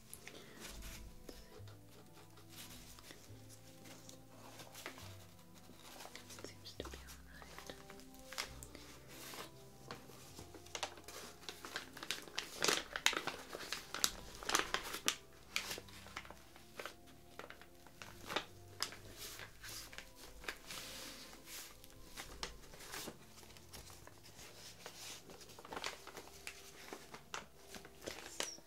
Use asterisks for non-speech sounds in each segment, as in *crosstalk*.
It seems to be alright. Yes.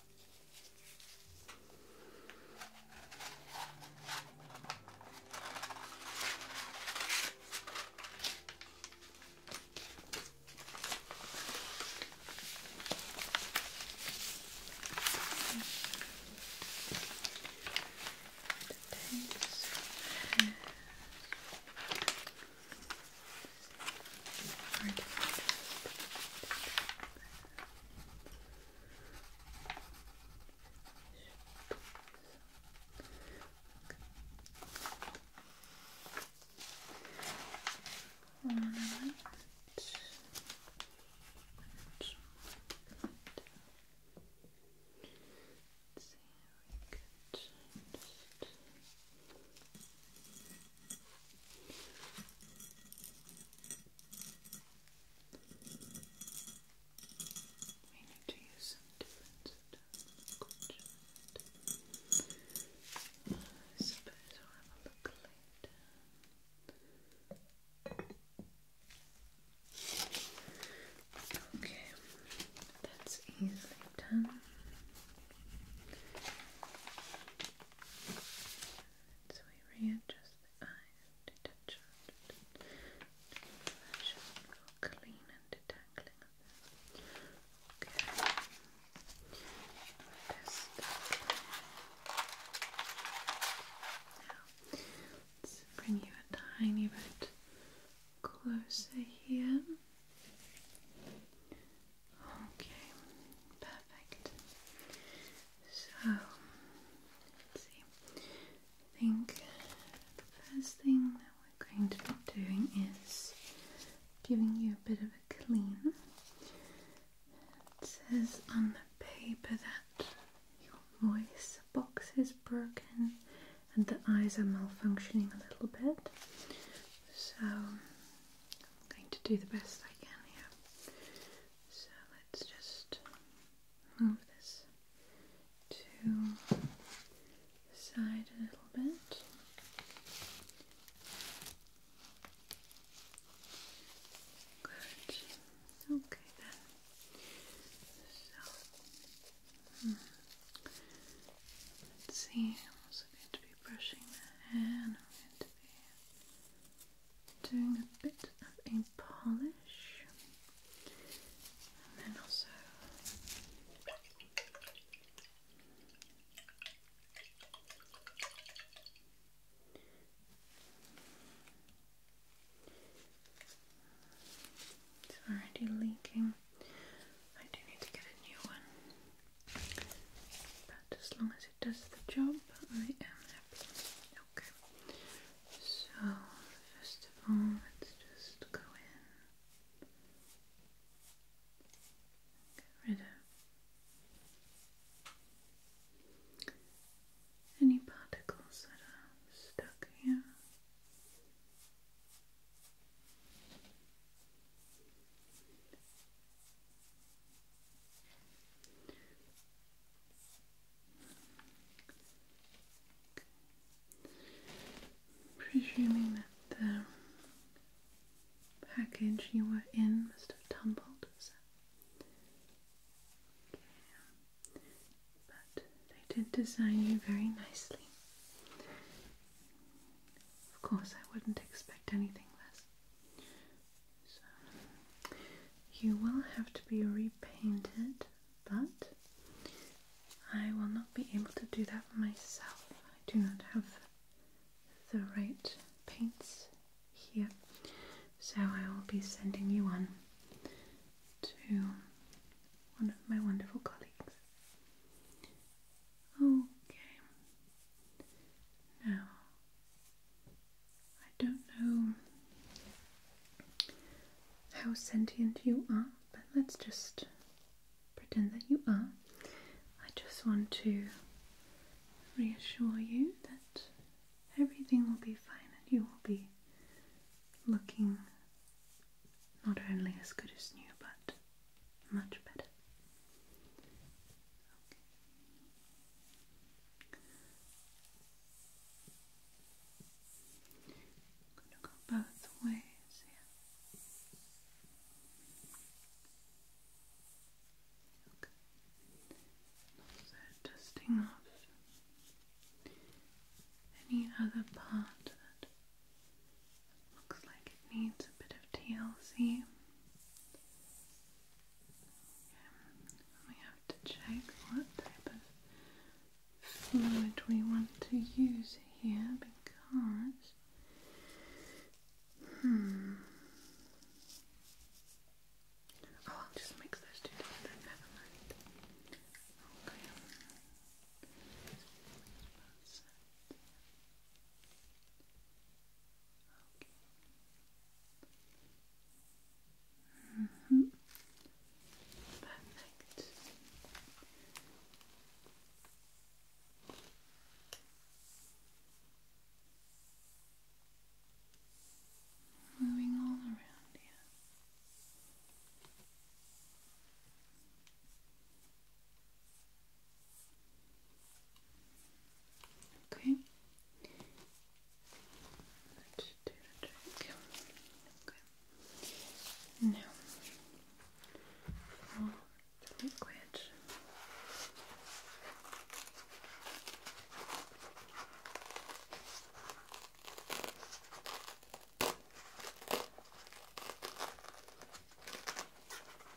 Hard to find. All right. Let's see we could just we need to use some different uh, I suppose I'll have a look later. Okay, that's easily done so we readjust the eye detachment. Fashion for clean and detangling Okay. now, let's bring you a tiny bit closer here. Okay, perfect. So, let's see. I think the first thing that we're going to be doing is giving you a bit of a clean. It says on the paper that your voice box is broken and the eyes are malfunctioning a little bit. So, I'm going to do the best I can here. So let's just move this to the side a little bit. Good. Okay then. So. Hmm. see, I'm also going to be brushing the hair doing a bit of a polish and then also it's already leaking. I do need to get a new one. But as long as it does the job, I am happy. Okay. So, first of all, let's just go in. Get rid of any particles that are stuck here. Presuming that the package you were in must have tumbled, but they did design you very nicely. Of course, I wouldn't expect anything less you will have to be repainted, but I will not be able to do that myself. I do not have the right paints here, so I will be sending you one to one of my wonderful colleagues. Okay. Now I don't know how sentient you are, but let's just pretend that you are. I just want to reassure you that everything will be fine and you will be looking not only as good as new but much better going to go both ways here. Okay. Also off any other part that looks like it needs a bit of TLC we have to check what type of fluid we want to use here because hmm oh I'll just mix those two together Okay. Mm Perfect. Moving all around here. Okay. That should do the trick. Okay. Now for the liquid.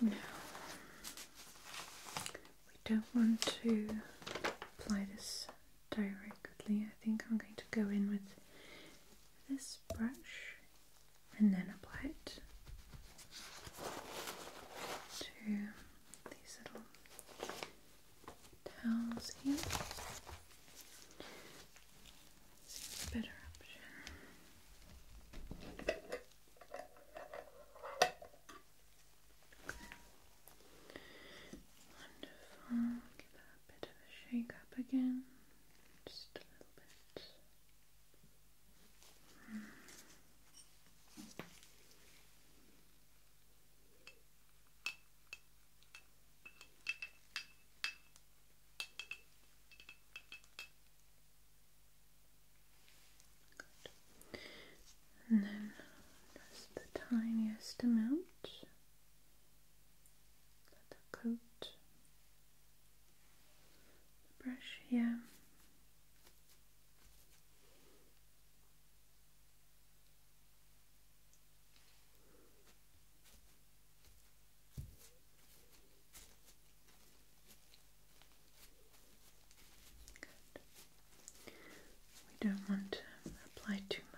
Now, we don't want to apply this directly. I think I'm going to go in with this brush and then apply it to these little towels here. Seems a better option. Wonderful. Give that a bit of a shake up again. Just a little bit. Hmm. And then just the tiniest amount. Let that coat the brush yeah. We don't want to apply too much.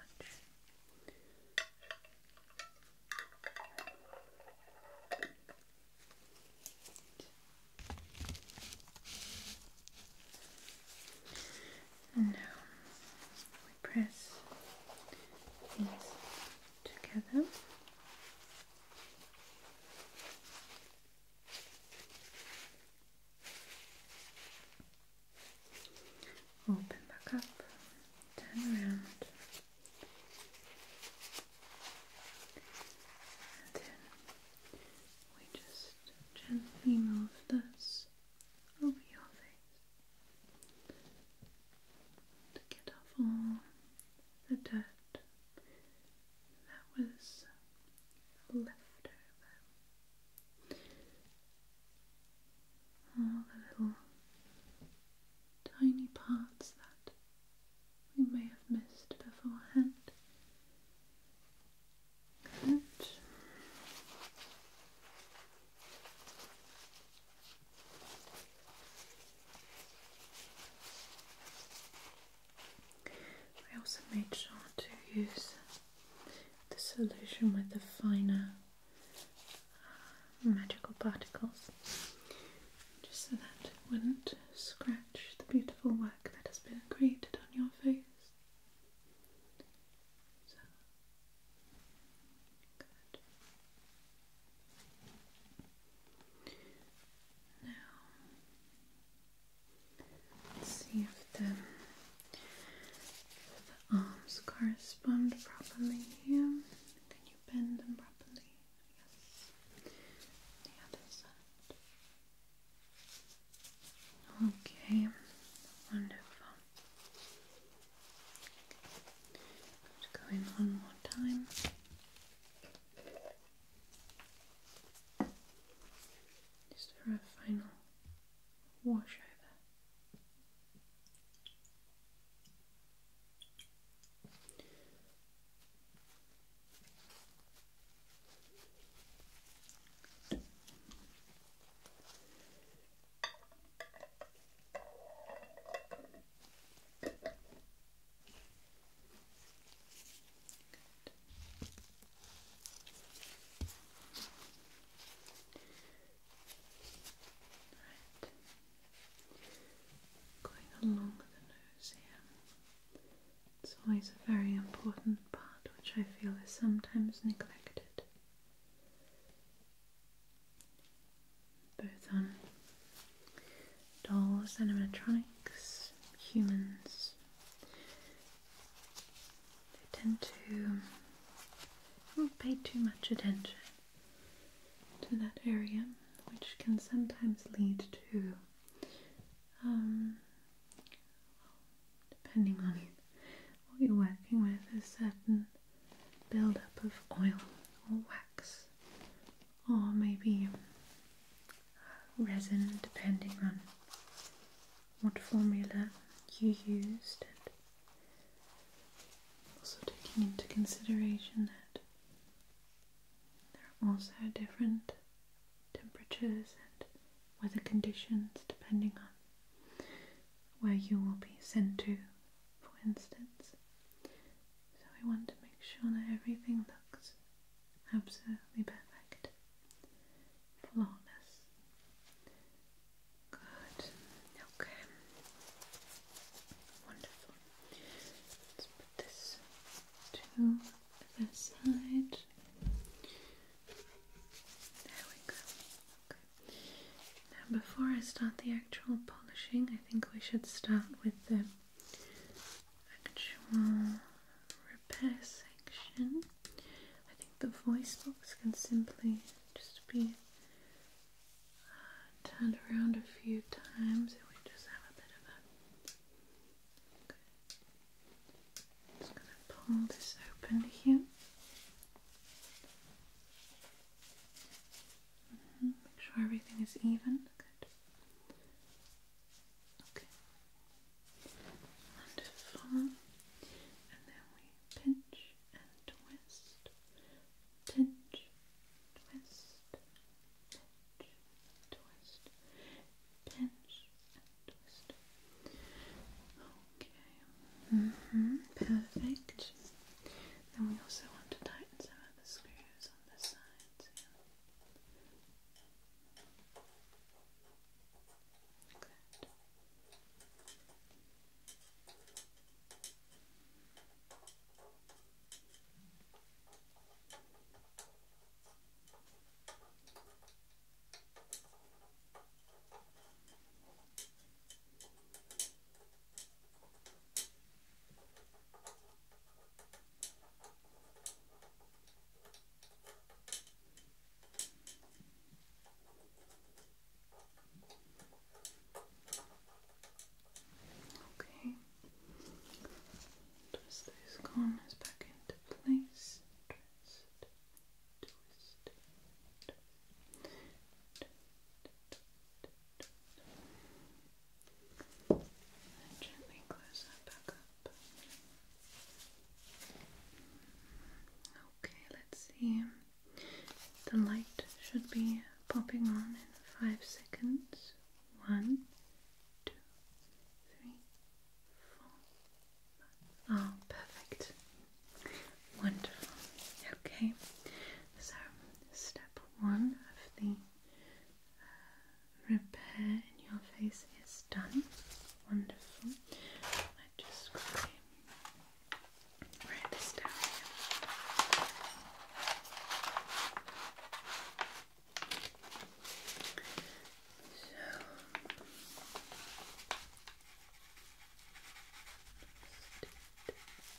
now we press these together. Open back up, turn around, and then we just gently move this over your face to get off all the dirt that was left over. All the little tiny parts that we may have missed beforehand. Good. I also made sure to use the solution with the finer uh, magical particles just so that it wouldn't scratch the beautiful work that has been created on your face. Now, let's see if the, arms correspond properly Can you bend them properly? The other side. Okay, wonderful. Just go in one more time. Just for a final wash over. Going along the nose here. It's always a very important part which I feel is sometimes neglected both on um, dolls, animatronics, humans. They tend to pay too much attention to that area, which can sometimes lead to, um, depending on *laughs* what you're working with, a certain buildup of oil or wax or maybe resin depending on what formula you used and also taking into consideration that there are also different temperatures and weather conditions depending on where you will be sent to, for instance. So we want to make sure that everything looks absolutely perfect. Flawless. Good. Okay. Wonderful. Let's put this to the side. There we go. Okay. Now, before I start the actual polishing, I think we should start with the actual repair section. I think the voice box can simply just be uh, turned around a few times and we just have a bit of a. Just gonna pull this open here. Make sure everything is even. Good. Okay. Wonderful. And then we pinch and twist. Pinch, twist, pinch, twist, pinch, and twist. Okay. Mm-hmm. Perfect. And we also want to tighten some of the screws on the sides. Okay. Okay. Twist those corners back into place. twist, twist, twist, Okay, let's see. The light should be popping on in five seconds. One, two, three, four. Five. Ah, perfect. Wonderful. Okay, so step one of the uh, repair in your face is done. Wonderful. I just write this down So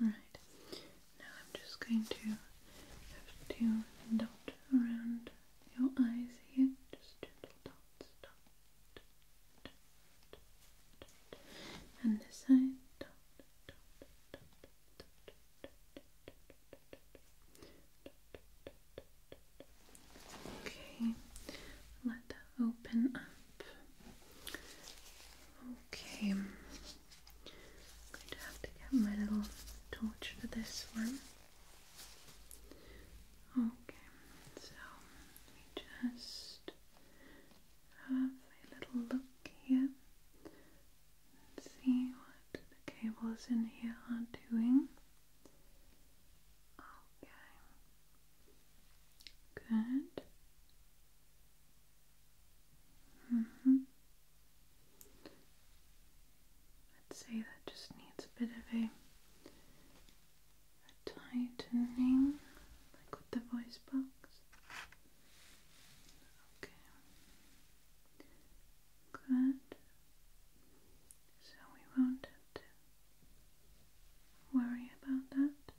Right. Now I'm just going to have to dot around your eyes here. Just gentle dots, and this side, Okay, let that open up. Okay, I'm going to have to get my little torch for this one. Okay, so we just have a little look here and see what the cables in here are doing. Okay. Good. Mm hmm I'd say that just needs a bit of a, tightening, like with the voice box. Okay. Good. So we won't worry about that.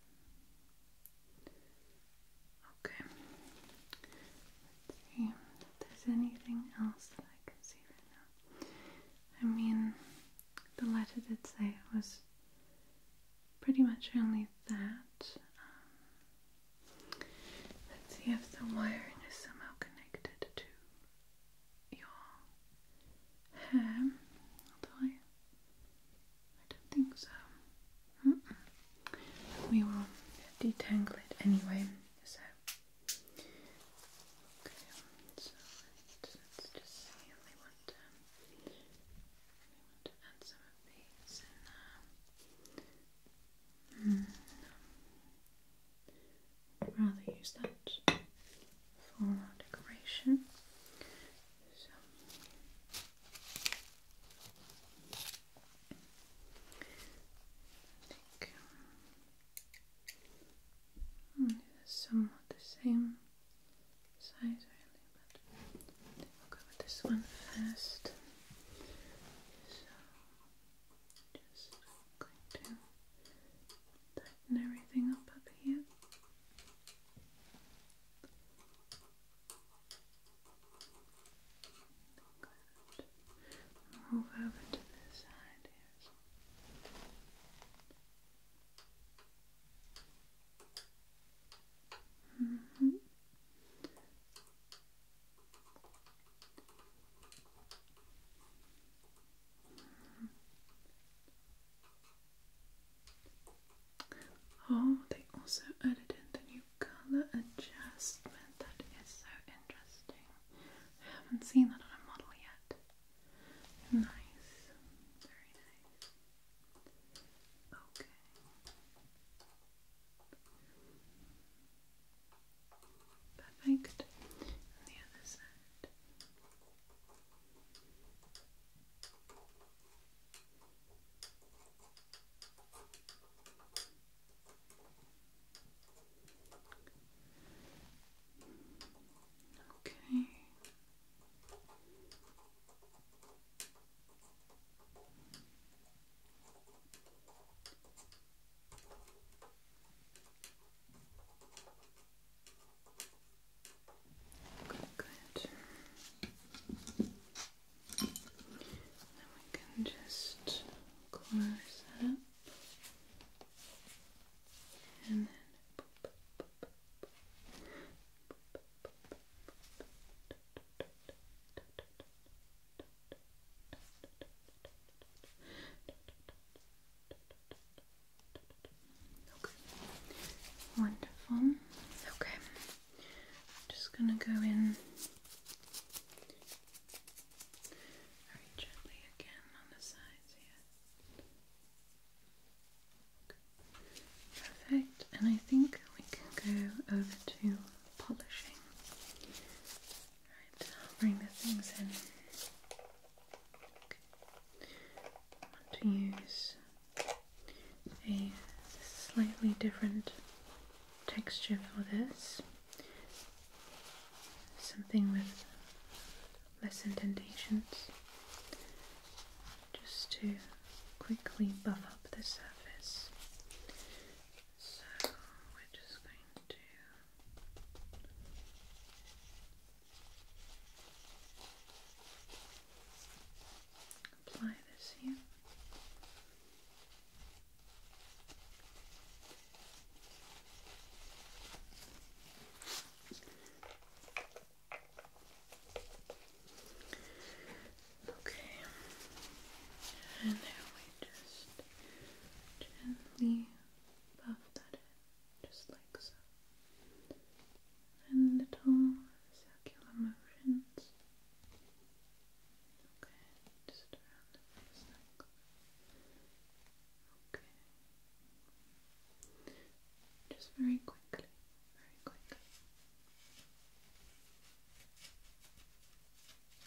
Okay. Let's see if there's anything else that I can see right now. I mean, the letter did say it was pretty much only that. Um, let's see if the wiring is somehow connected to your hair, I, don't think so. We will detangle it anyway, so. Okay, um, so let's, just see we want to, we want to add some of these I'd rather use that for our decoration. So hmm, somewhat the same size really, but we'll go with this one first. Just going to tighten everything up up here. Move over to this side here. Mm -hmm. Oh, they also added in the new colour adjustment. That is so interesting. I haven't seen that on a model yet. Nice. Very nice. Okay. Perfect. And the other side. Okay. Good, good. Then we can just close up and then Wonderful. Okay. just gonna go in very gently again on the sides here. Perfect. And I think we can go over to polishing. I'll bring the things in. I want to use a slightly different texture for this. Something with less indentations. Just to quickly buff up the surface. So we're just going to Apply this here. Okay, and now we just gently buffed at it, just like so. And little circular motions. Okay, just around the face Okay. Just very quickly, very quickly.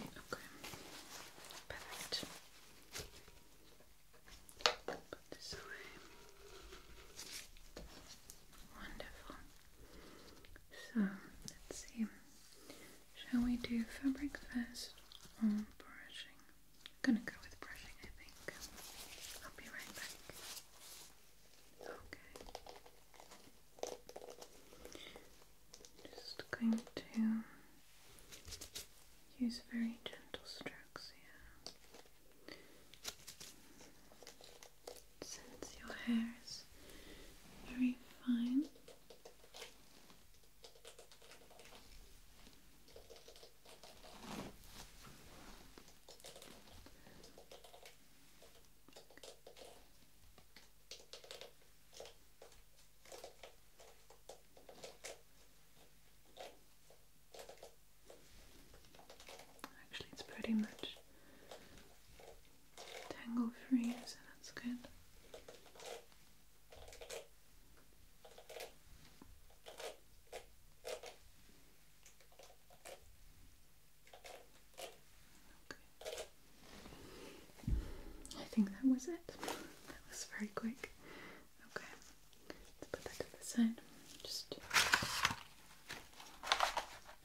Okay. Perfect. Put this away. Wonderful. So let's see. Shall we do fabric first or brushing? I'm gonna go with brushing, I think. I'll be right back. Okay. Just going to Use very gentle strokes here. Since your hair is very fine, Actually, it's pretty much tangle free, so that's good. Okay. I think that was it. That was very quick. Okay, let's put that to the side. Just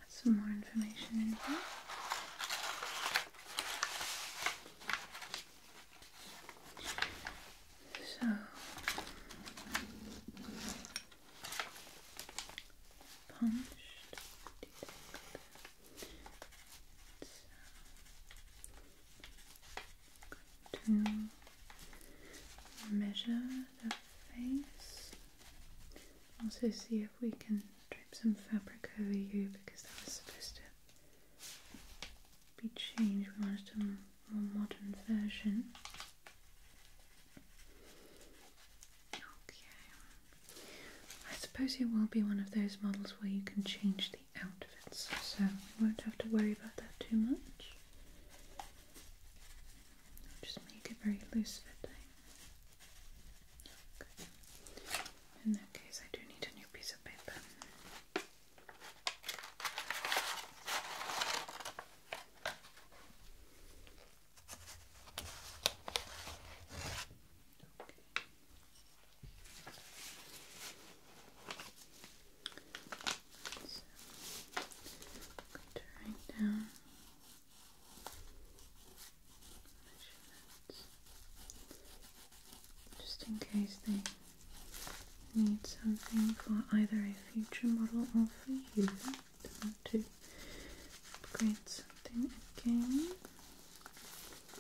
some more information in here. So punched to measure the face. Also, see if we can drape some fabric over you because that was supposed to be changed. We wanted a more modern version. Okay. I suppose it will be one of those models where you can change the outfits, so we won't have to worry about that too much. just make it very loose fitting. In that case, I do need a new piece of paper write down just in case they need something for either a future model or for you to upgrade something again.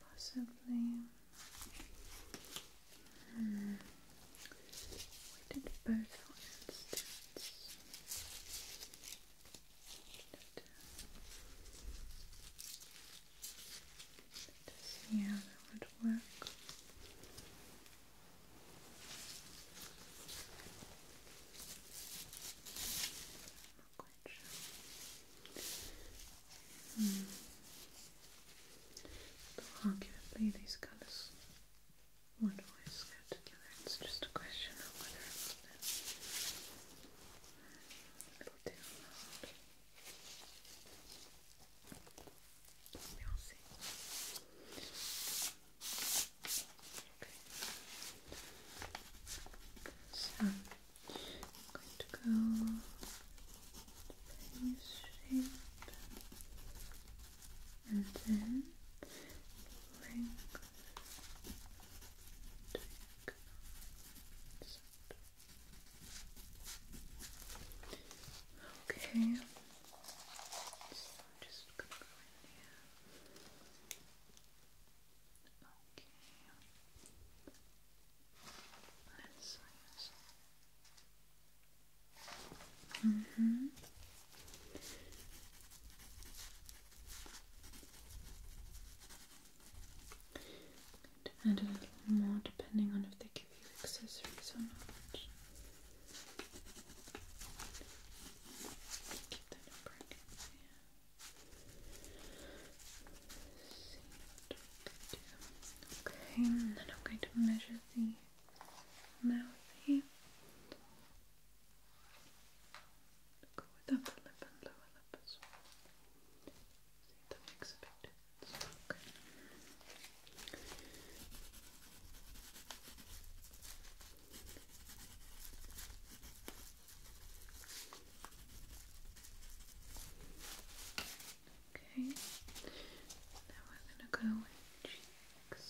possibly. Hmm. We did both, for instance. But, see how that would work language. Arguably, these colours would always go together. It's just a question of whether or will see. I'm going to go face shape and then length take Okay, just gonna go in here. Okay. Let's see. Mm -hmm. Good. a little more depending on if they give you accessories or not. Keep that in brackets, Okay, and then I'm going to measure the mouth here. Go with upper lip and lower lip as well. See if that makes a difference. Okay. Okay, now we're going to go with cheeks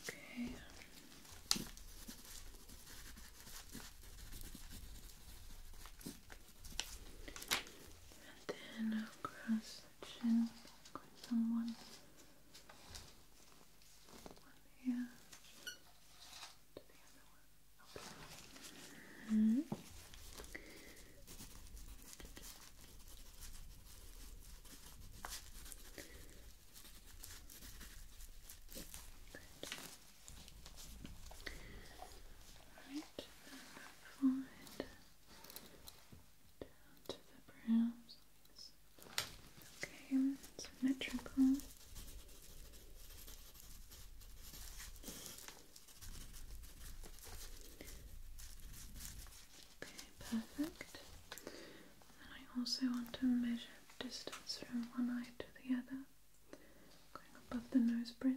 Okay. And then across the chin, across on one one hand to the other one. Okay. Mm -hmm. Good. All right, and that down to the brows. Okay, symmetrical. Okay, perfect. And I also want to measure distance from one eye to the other, going above the nose bridge.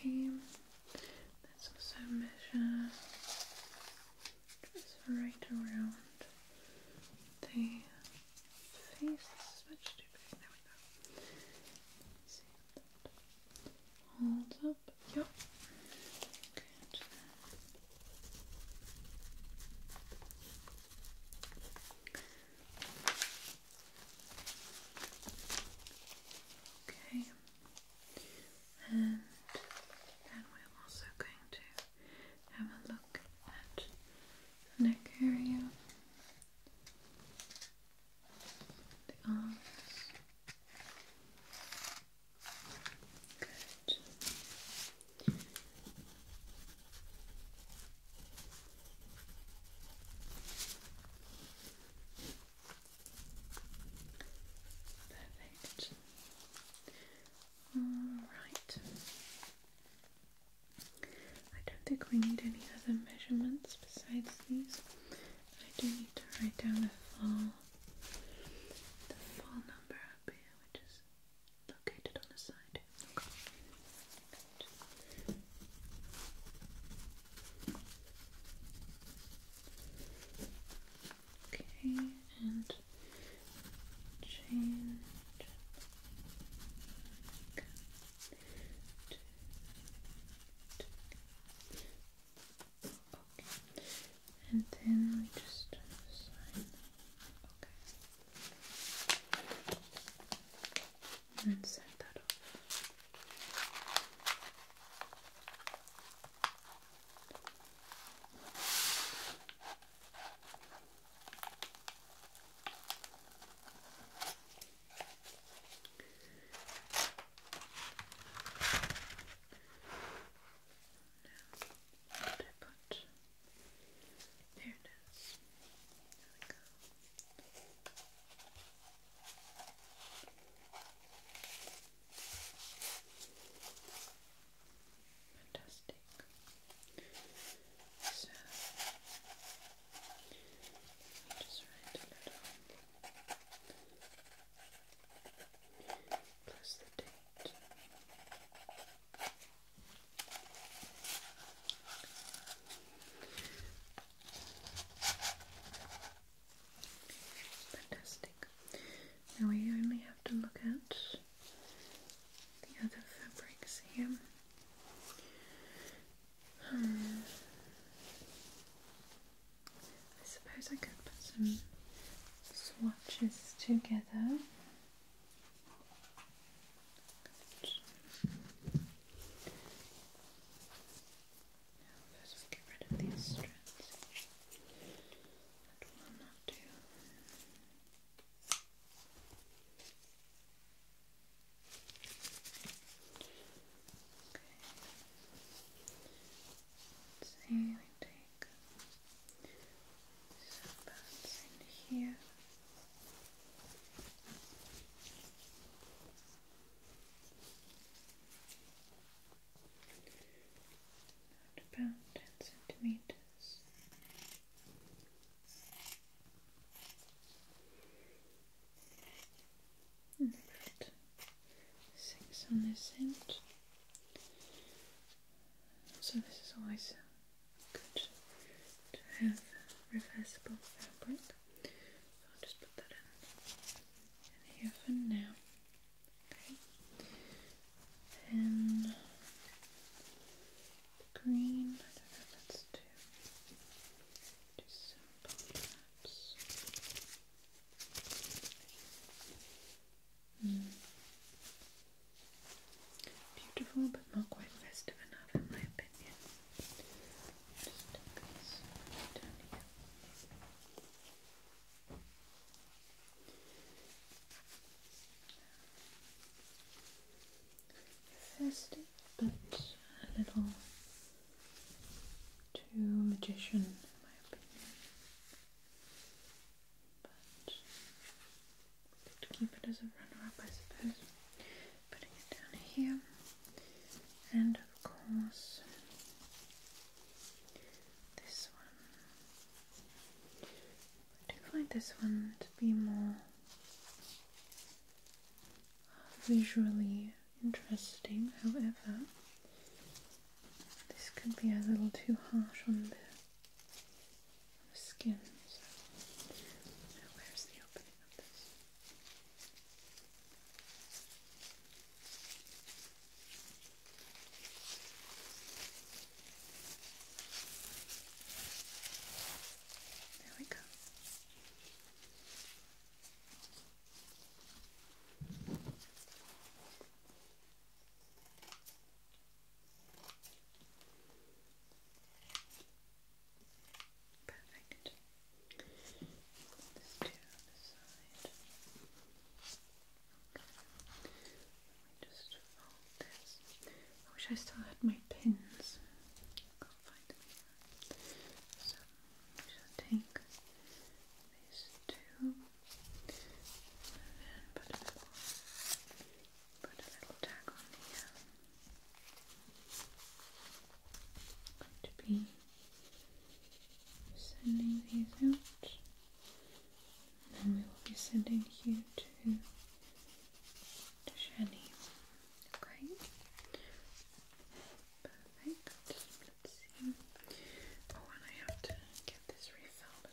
Okay, let's also measure just right around the face. This is much too big. There we go. see that holds up. Yep good. Okay, and then we're also going to have a look at neck area, the arms, Perfect. All right. I don't think we need any other measurements besides these. I do need to write down the full the full number up here, which is located on the side. Okay. Okay, and change okay. Two, two. Okay. And then we just sign. Okay. And set that off now what I put? There it is. There we go. Fantastic. So just write a little plus the date. Fantastic. Now we only have to look at the other fabrics here. Hmm. I suppose I could put some swatches together together. Good. get rid of these strands. That will not do. Okay like here. About ten centimeters. about six on this end. So this is always good to have reversible fabric. So I'll just put that in, here for now. Okay. Then green, I don't know if that's too, simple Hmm. Beautiful, but not quite festive enough, in my opinion. Festive, but a little too magician, in my opinion but could keep it as a runner-up, I suppose. Putting it down here, and of course this one. I do find this one to be more visually interesting, however, this could be a little too harsh on the skin, so where's the opening of this? There we go. Perfect. This to the side. Okay. Let me just fold this. I wish I still had my pins. can't find them here. So I shall take these two put a little, tag on here. to be sending these out, and we will be sending you to Shani. Okay. Perfect. Let's see. Oh, and I have to get this refilled.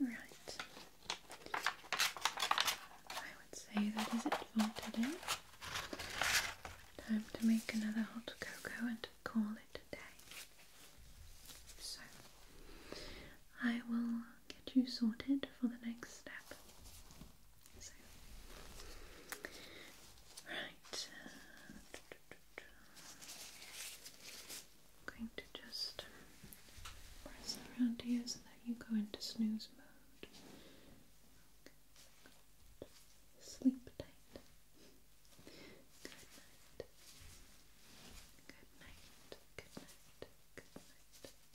Right. I would say that is it for today. Time to make another hot cocoa and call it a day. So, I will get you sorted for the next step. So, right. Uh, I'm going to just press around here so that you go into snooze mode. Sleep tight. Good night. Good night. Good night. Good night.